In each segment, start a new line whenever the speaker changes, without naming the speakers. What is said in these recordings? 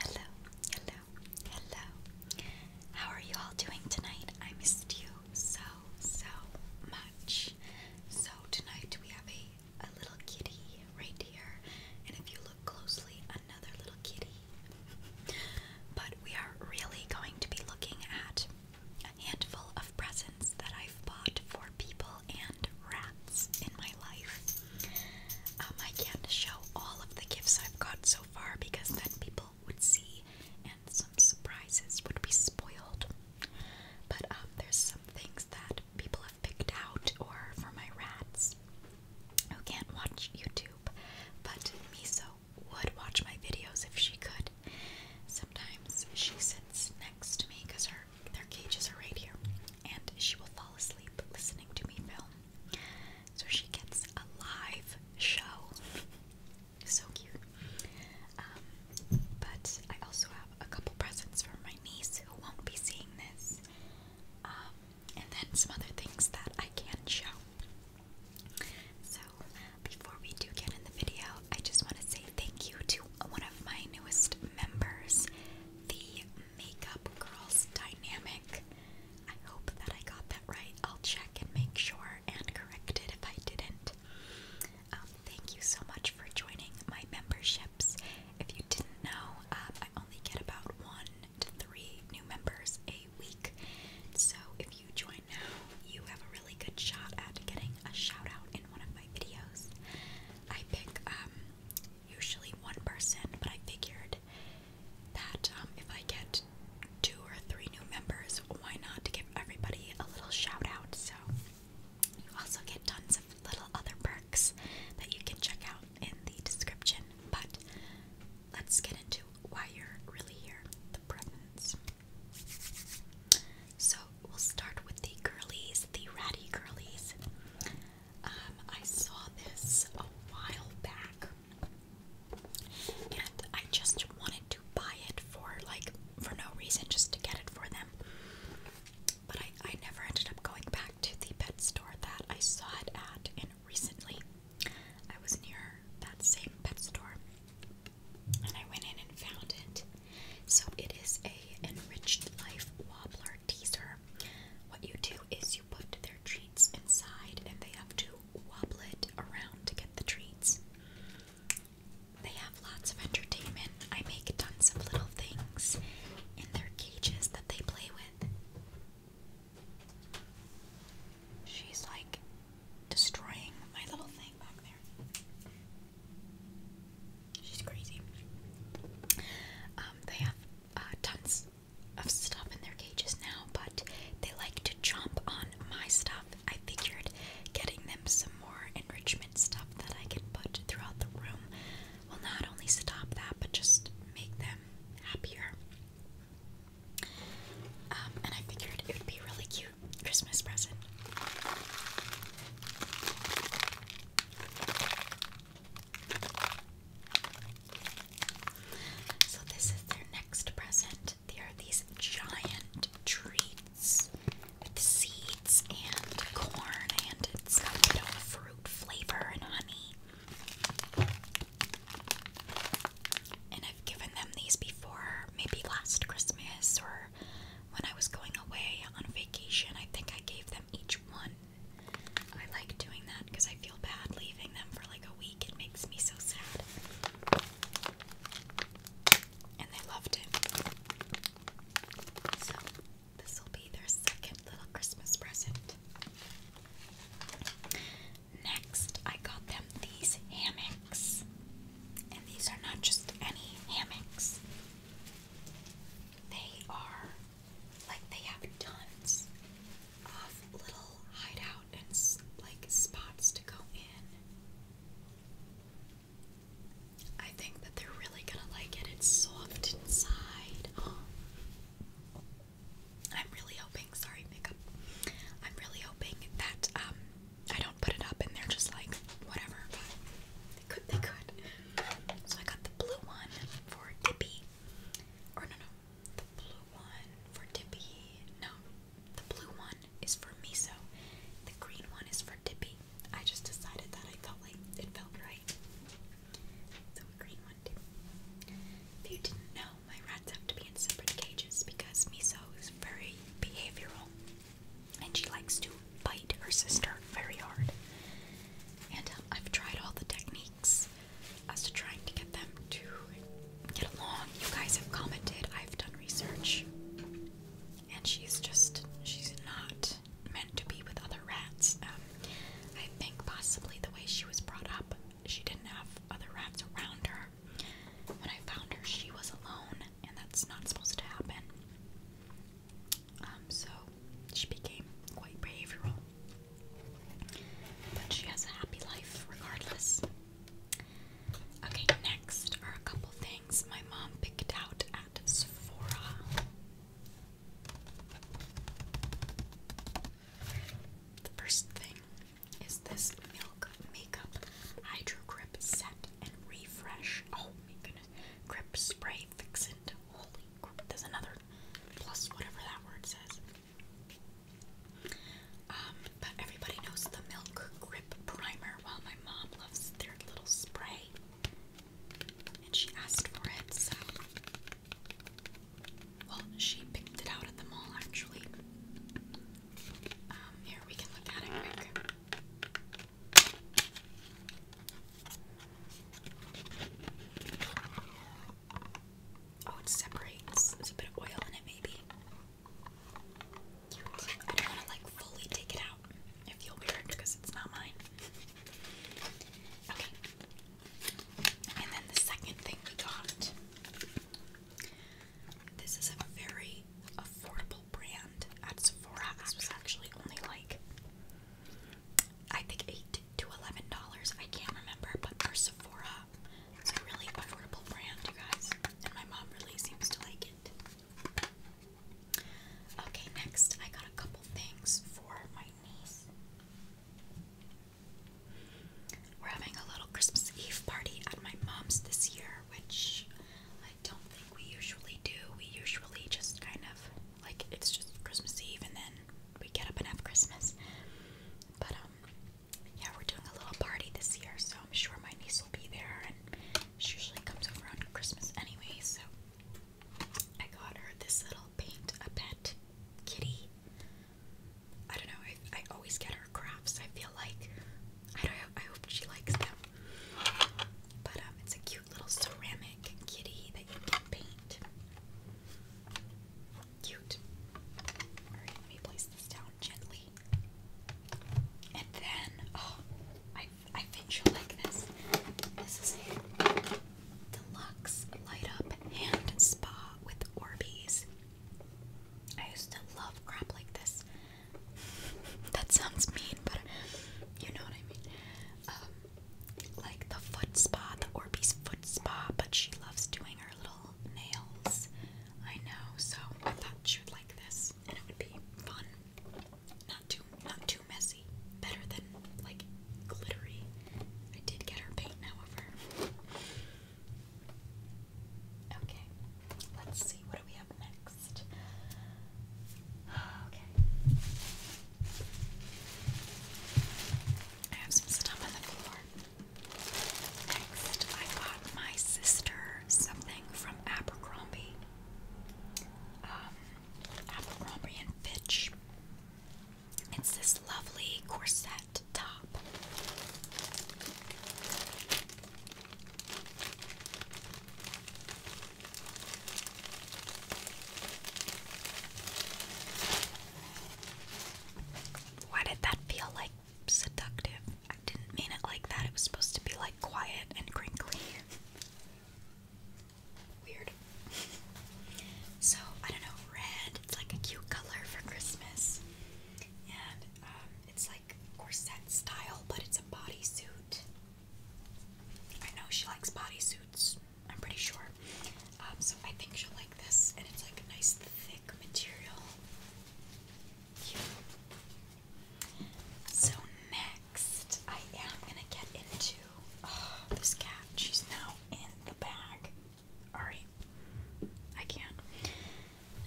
Hello, hello, hello, hello. How are you all doing tonight? I missed you so, so much. So, tonight we have a, a little kitty right here, and if you look closely, another little kitty. but we are really going to be looking at a handful of presents that I've bought for people and rats in my life. Um, I can't show all of the gifts I've got so far because then people would see and some surprises would be spoiled. But um, there's some things that people have picked out or for my rats who can't watch YouTube, but Miso would watch my videos if she could. Sometimes she sits next to me because her their cages are right here, and she will fall asleep listening to me film. So she gets a live show. so cute. Um, but I also have a couple presents for my niece who won't be seeing this. Um, and then some other things that I can show. So, before we do get in the video, I just want to say thank you to one of my newest members, the makeup girls dynamic. I hope that I got that right. I'll check and make sure and correct it if I didn't. Um, thank you so much for joining my memberships. If you didn't know, um, I only get about one to three new members a week. So if you join now, you have a really good shot at getting a shout out in one of my videos. I pick um, usually one person, but I figured that um, if I get two or three new members, why not give everybody a little shout out? So you also get tons of little other perks that you can check out in the description. But let's get into why you're really here, the presents. So we'll start with the girlies, the ratty girlies. Um, I saw this a while back, and I just wanted to buy it for like for no reason, just to get it for them. But I, I never ended up going back to the pet store that I saw it at. And recently, I was near that same pet store, and I went in and found it. So it is a enriched life wobbler teaser, what you do is you put their treats inside and they have to wobble it around to get the treats. They have lots of entertainment. I make tons of little things in their cages that they play with. She's like destroying my little thing back there. She's crazy. Um, they have uh, tons of stuff in their cages now, but they like to jump on my stuff. I figured getting them some more enrichment stuff that I can put throughout the room will not only stop that, but just make them happier. Um, and I figured it would be a really cute Christmas present. So this is their next present. They are these giant treats with seeds and corn, and it's got you know, fruit flavor and honey. And I've given them these before, maybe last Christmas or when I was going away on vacation. I think I gave them each one. I like doing that because I feel bad leaving them for like a week. It makes me so sad. And they loved it. So, this will be their second little Christmas present. Next, I got them these hammocks. And these are not just any hammocks, they are like they have tons of little hideout and like spots to go in. I think that they're really gonna like it. It's soft inside. I'm really hoping. Sorry, makeup. I'm really hoping that um I don't put it up and they're just like whatever. But they could. They could. So I got the blue one for Dippy. Or no, no, the blue one for Dippy. No, the blue one is for Miso. The green one is for Dippy. I just decided that I felt like it felt right. So green one too. If you didn't know, my rats have to be in separate cages because Miso is very behavioral, and she likes to bite her sister very hard. And um, I've tried all the techniques as to trying to get them to get along. You guys have commented, I've done research, and she's just, she's not meant to be with other rats. Um, I think possibly the way she was brought up, she didn't have other rats around her. When I found her, she was alone, and that's not supposed to happen. Um, so she became quite behavioral. But she has a happy life regardless. Okay, next are a couple things my mom picked out at Sephora. The first thing is this Milk Makeup Hydro Grip Set and Refresh. Oh my goodness. Grip Spray Fixant there's another plus whatever that word says. Um, but everybody knows the Milk Grip Primer. Well, my mom loves their little spray, and she asked for it, so. Well, she picked it out at the mall actually. Um, here we can look at it quick. Oh, it separates. There's a bit of oil in it, maybe. I don't want to like fully take it out. I feel weird because it's not mine. Okay. And then the second thing we got. This is a very affordable brand at Sephora. This was actually only like I think eight to eleven dollars. I can't remember, but for Sephora, it's a really affordable brand, you guys. And my mom really seems to like it. Okay, next I got a couple things for my niece. We're having a little Christmas Eve party at my mom's this year, which I don't think we usually do. We usually just kind of like it's just Christmas Eve and then we get up and have Christmas. But um yeah, we're doing a little party this year, so I'm sure my niece will be there and she usually comes over on Christmas anyway, so I got her this little paint a pet kitty. I don't know, I I always get her crafts, I feel like. I don't I hope she likes them. But um it's a cute little ceramic kitty that you can paint. Cute. Alright, let me place this down gently. And then, oh, I, I think you'll like this. This is a deluxe light up hand spa with Orbeez. I used to love crap like this. That sounds mean, but you know what I mean. Um, like the foot spa, the Orbeez foot spa, but she loves doing her little nails. I know, so I thought she would like this, and it would be fun. Not too, not too messy. Better than like glittery. I did get her paint, however. Okay, let's see. What do we have next? Okay. I have some stuff on the floor. Next, I got my sister something from Abercrombie. Um, Abercrombie and Fitch. It's this lovely corset top. Why did that feel like seductive? I didn't mean it like that. It was supposed to be like quiet and crinkly. Weird. so, I don't know, red, it's like a cute color for Christmas. And um, it's like corset style, but it's a bodysuit. I know she likes bodysuits. I'm pretty sure. Um, so I think she'll like this, and it's like a nice thick material. Yeah. So next, I am gonna get into oh, this cat. She's now in the bag. All right, I can't.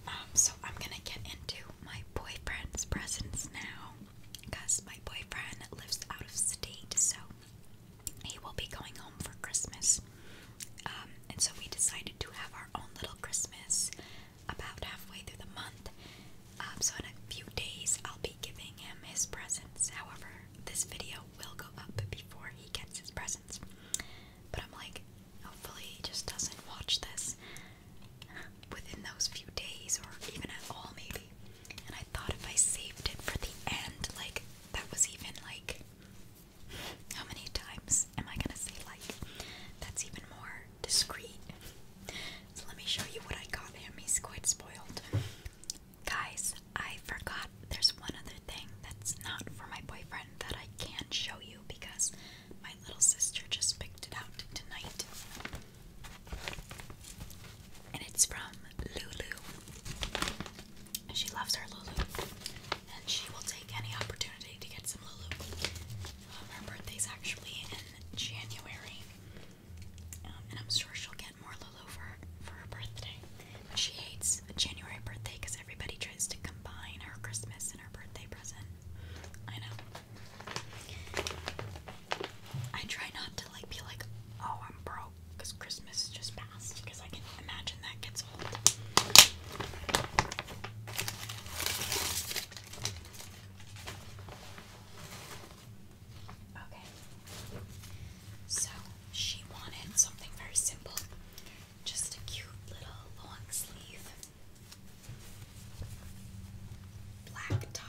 Um, so I'm gonna get into my boyfriend's presents now, because my boyfriend lives out of state, so he will be going home for Christmas. Um, and so we decided to have our own little Christmas about halfway through the month. Um, so in a few days, I'll be giving him his presents. However, this video will go up before he gets his presents. But I'm like, hopefully, he just doesn't watch this within those few days or even at all, maybe. And I thought if I saved it for the end, like that was even like how many times am I gonna say like that's even more discreet? So let me show you what I got him. He's quite spoiled. Guys, I forgot there's one other thing that's not for my boyfriend that I can show you because my little sister just picked it out tonight and it's from Lulu. She loves her Lulu, and she will take any opportunity to get some Lulu. Um, her birthday's actually in January, um, and I'm sure she'll get more Lulu for her, for her birthday. But she hates a January birthday because everybody tries to combine her Christmas and her birthday present. I know. I try not to like be like, oh, I'm pro because Christmas just passed because I can imagine that gets old. Okay. So she wanted something very simple. Just a cute little long sleeve. Black top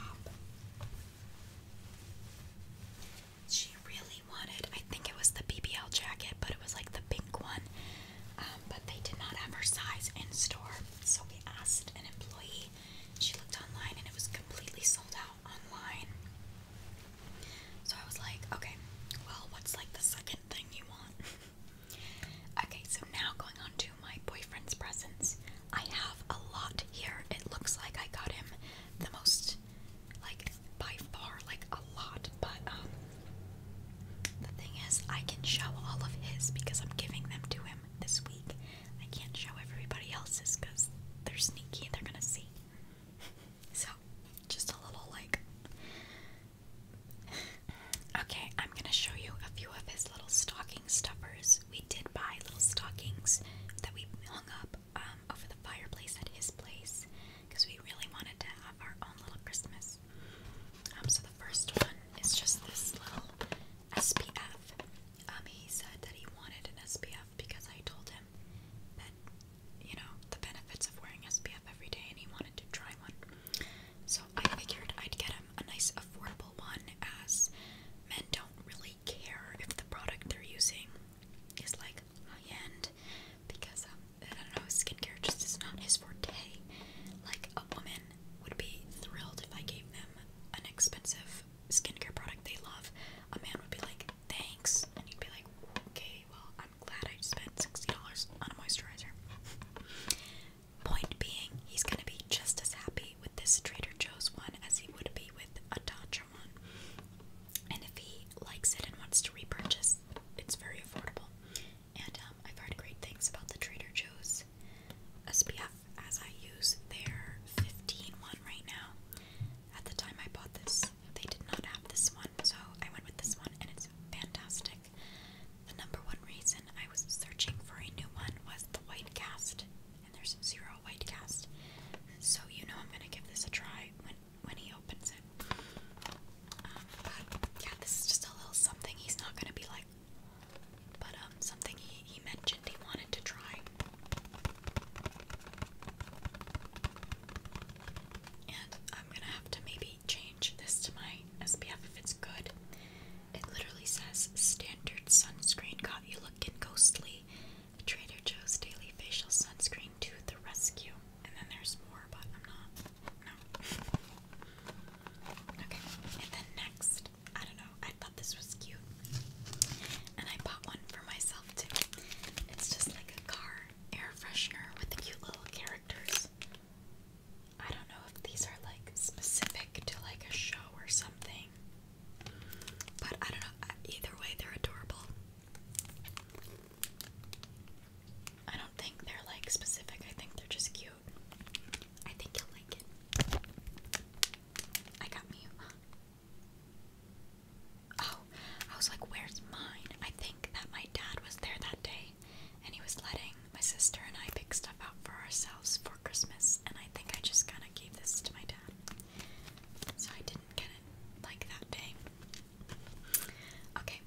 she really wanted, I think it was the BBL jacket, but it was like the pink one. Um, but they did not have her size in store, so we asked an employee. She looked online and it was completely sold out online. So I was like, okay, well, what's like the second thing you want? okay, so now going on to my boyfriend's presents. I have a lot here. It looks like I got him the most like by far, like a lot. But um, the thing is, I can show all of his because I'm giving them to him this week. I can't show everybody else's because they're sneaky and they're gonna see. So, just a little like. Okay, I'm gonna show you a few of his little stocking stuffers. We did buy little stockings that we hung up um, over the fireplace at his place because we really wanted to have our own little Christmas. Um, so the first one is just this little SPF. Um, he said that he wanted an SPF because I told him that you know the benefits of wearing SPF every day, and he wanted to try one. So I figured I'd get him a nice affordable one, as men don't really care if the product they're using is like high end because um, I don't know, skincare just is not his forte. Like a woman would be thrilled if I gave them an expensive skincare product they love. A man would be like, thanks, and he'd be like, okay, well, I'm glad I spent sixty dollars on a moisturizer. Point being, he's gonna be just as happy with this Trader Joe's one as he would be with a Tatcha and if he likes it and wants to repurchase, it's very affordable. And um, I've heard great things about the Trader Joe's SPF as I use their 15 one right now. At the time I bought this, they did not have this one, so I went with this one and it's fantastic. The number one reason I was searching for a new one was the white cast there's zero white cast. So you know I'm gonna give this a try when when he opens it. Um, but yeah, this is just a little something he's not gonna be like. But um, something he he mentioned he wanted to try. And I'm gonna have to maybe change this to my SPF if it's good. It literally says standard sunscreen got you looking ghostly Trader Joe's Daily Facial Sunscreen to the rescue. And then there's more, but I'm not. No. okay, and then next, I don't know, I thought this was cute. And I bought one for myself too. It's just like a car air freshener with cute little characters. I don't know if these are like specific to like a show or something. But I don't know, uh, either way, they're adorable. I don't think they're like specific, I think they're just cute. I think you'll like it. I got me. Uh, oh, I was like, where's mine? I think that my dad was there that day and he was letting my sister and I pick stuff out for ourselves for Christmas, and I think I just kind of gave this to my dad. So I did like that day. Okay,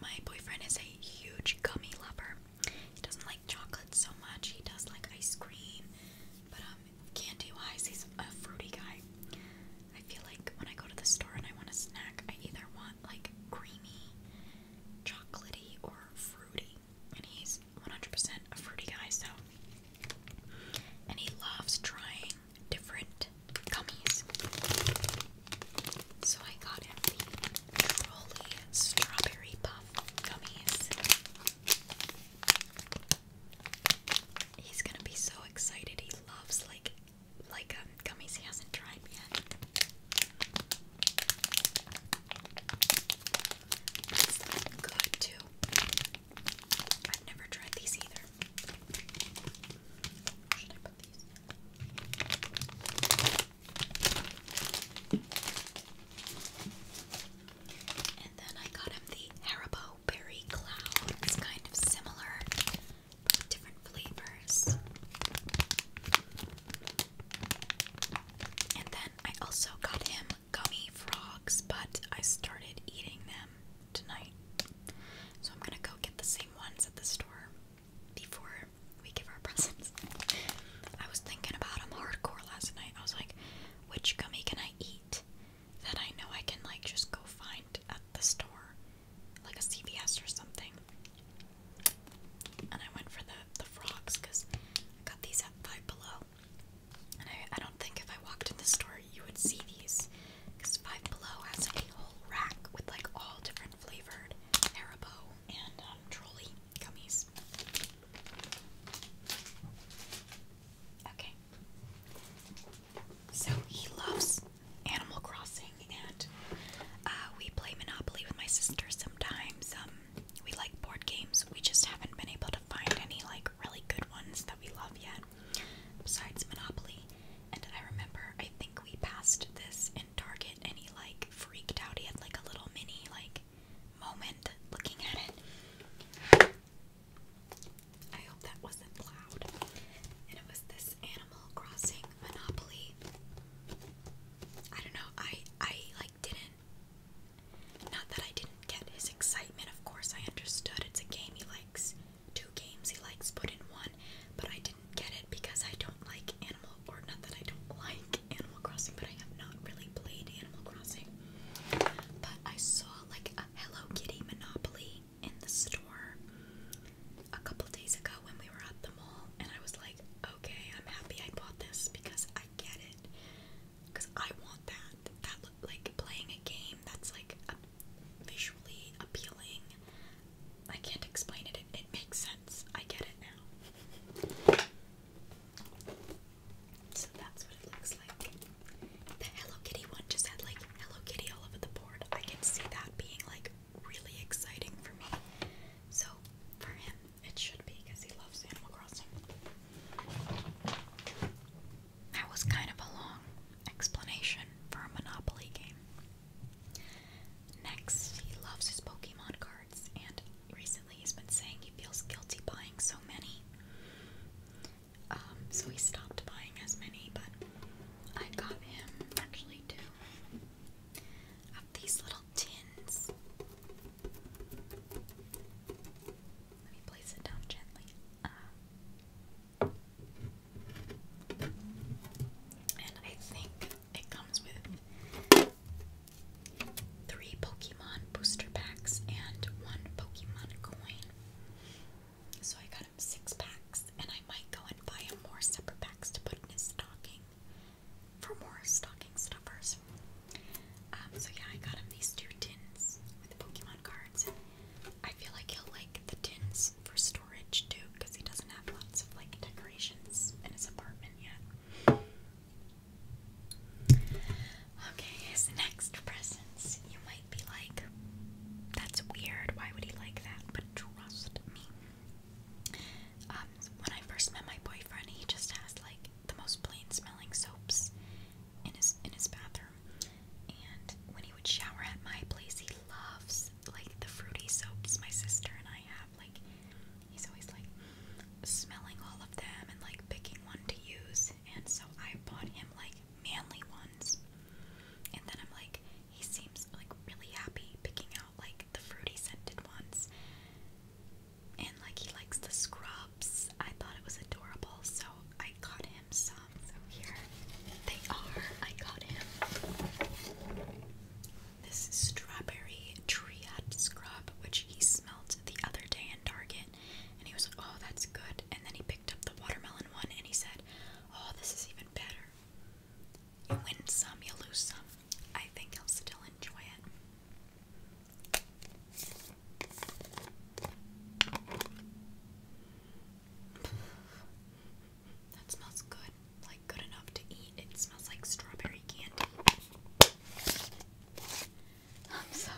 my boyfriend is a huge gummy lover. He doesn't like chocolate so much. He does like ice cream, but um, candy-wise, he's a fruity guy. I feel like when I go to the store and I want a snack, I either want like creamy, chocolatey, or fruity. And he's 100% a fruity guy, so and he loves trying different gummies. So I got him the Trolley Strawberry Puff gummies. He's gonna be so excited. He loves like like um, gummies he hasn't tried yet. good too. I've never tried these either. should I put these? And then I got him the Haribo Berry Cloud. It's kind of similar, different flavors. And then I also got him gummy frogs, but I started eating them tonight. So I'm gonna go get the same ones at the store before we give our presents. I was thinking about them hardcore last night. I was like, which gummy can I eat that I know I can like just go find at the store, like a CVS or something? And I went for the the frogs because I got these at Five Below. And I, don't think if I walked in the store you would see these. Because Five Below has a whole rack with like all different flavored Haribo and um, gummies. Okay. So he loves Animal Crossing, and uh, we play Monopoly with my sister sometimes. Um, we like board games. We just haven't been able to find any like really good ones that we love yet besides Monopoly. And I remember, I think we passed this in Target, and he like freaked out. He had like a little mini like moment looking at it. I hope that wasn't loud. And it was this Animal Crossing Monopoly. I don't know. I I like didn't. Not that I didn't get his excitement. Of course, I understood it's a game he likes, two games he likes put in one, but I didn't get it because I don't like Animal, or not that I don't like Animal Crossing, but I have not really played Animal Crossing. But I saw like a Hello Kitty Monopoly in the store a couple days ago when we were at the mall, and I was like, okay, I'm happy I bought this because I get it because I want that. That like playing a game that's like a, visually appealing. I can't explain it. it. It makes sense. I get it now. So that's what it looks like. The Hello Kitty one just had like Hello Kitty all over the board. I can see that being like really exciting for me. So for him, it should be because he loves Animal Crossing. That was kind of a long explanation for a Monopoly game. Next, he loves his Pokemon cards, and recently he's been saying he feels guilty buying so many. Um, so he stopped buying as many, but I got him actually two of these little tins. Let me place it down gently. Um, and I think it comes with three Pokemon booster packs and one Pokemon coin. So I got him six packs, and I might go and buy him more separate packs to put in his stocking for more stocking stuffers. Um, so yeah, I got him these two tins with Pokemon cards. I feel like he'll like the tins for storage too, because he doesn't have lots of like decorations in his apartment yet. Okay, his next presents. You might be like, that's weird, why would he like that? But trust me. Um, when I first met my boyfriend, he just has like the most plain smelling soaps in his in his bathroom. And when he would shower at my place, he loves like the fruity soaps my sister and I have. Like he's always like smelling all of them and like picking one to use. And so I bought him like manly ones. And then I'm like, he seems like really happy picking out like the fruity scented ones. And like he likes the scrubs. I thought it was adorable, so I got him some, so here they are. I got him this strawberry triad scrub, which he smelled the other day in Target, and he was like, "Oh, that's good." And then he picked up the watermelon one, and he said, "Oh, this is even better." You win some, you lose some. I think he'll still enjoy it. That smells good. Like good enough to eat. It smells like strawberry candy. Um, so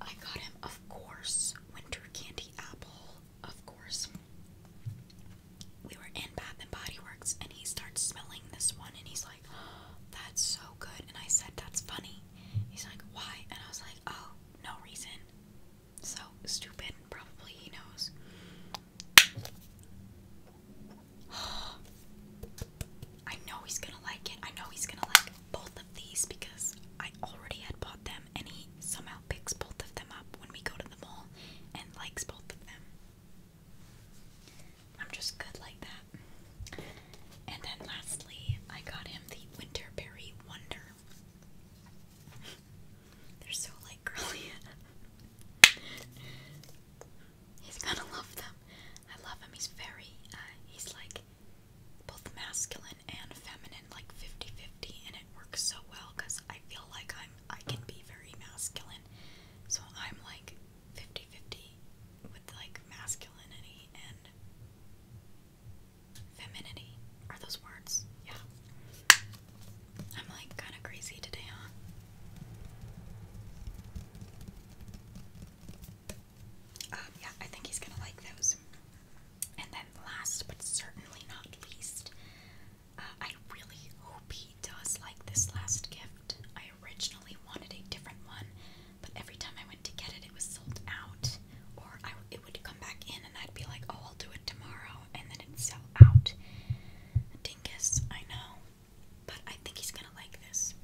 I got him, of course, winter candy apple. Of course. We were in Bath and Body Works and he starts smelling this one and he's like, that's so good. And I said, That's funny. He's like, Why? And I was like, Oh, no reason. So stupid. Probably he knows. I know he's gonna like it. I know he's gonna like both of these because I already had bought them and he somehow picks both of them up when we go to the mall and likes both of them. I'm just good like that that. And then lastly, I got him the Winterberry Wonder. They're so like girly. he's gonna love them. I love him. He's very, uh, he's like both masculine and feminine, like 50 50, and it works so well because I feel like I'm, I can be very masculine. So I'm like 50 50 with like masculinity and Femininity. Are those words? Yeah. I'm like kind of crazy today, huh? Um, yeah, I think he's gonna like those. And then, last but certainly not least, uh, I really hope he does like this last gift. I originally wanted a different one, but every time I went to get it, it was sold out, or I, it would come back in, and I'd be like, "Oh, I'll do it tomorrow," and then it'd sell out. Dingus, I know, but I think he's gonna like this.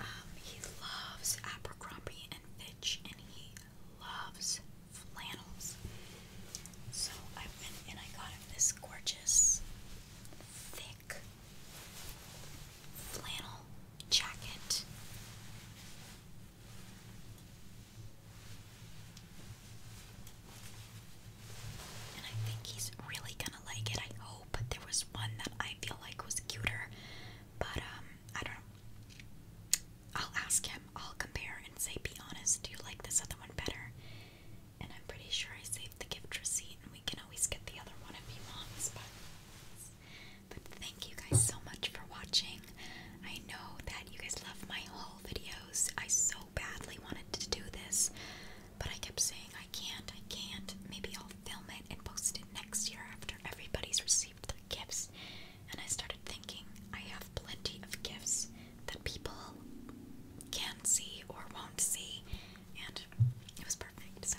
Um, he loves Abercrombie and Fitch, and he loves flannels. So I went and I got him this gorgeous, flannel jacket. And I think he's really gonna like it. I hope there was one that I feel like was cuter, but um, I don't know. I'll ask him, I'll compare and say, be honest, do you like this other one better? And I'm pretty sure I saved the gift receipt, and we can always get the other one if he wants, but but thank you guys so much for watching. I know that you guys love my haul videos. I so badly wanted to do this, but I kept saying I can't, I can't. Maybe I'll film it and post it next year after everybody's received their gifts. And I started thinking I have plenty of gifts that people can see or won't see, and it was perfect. So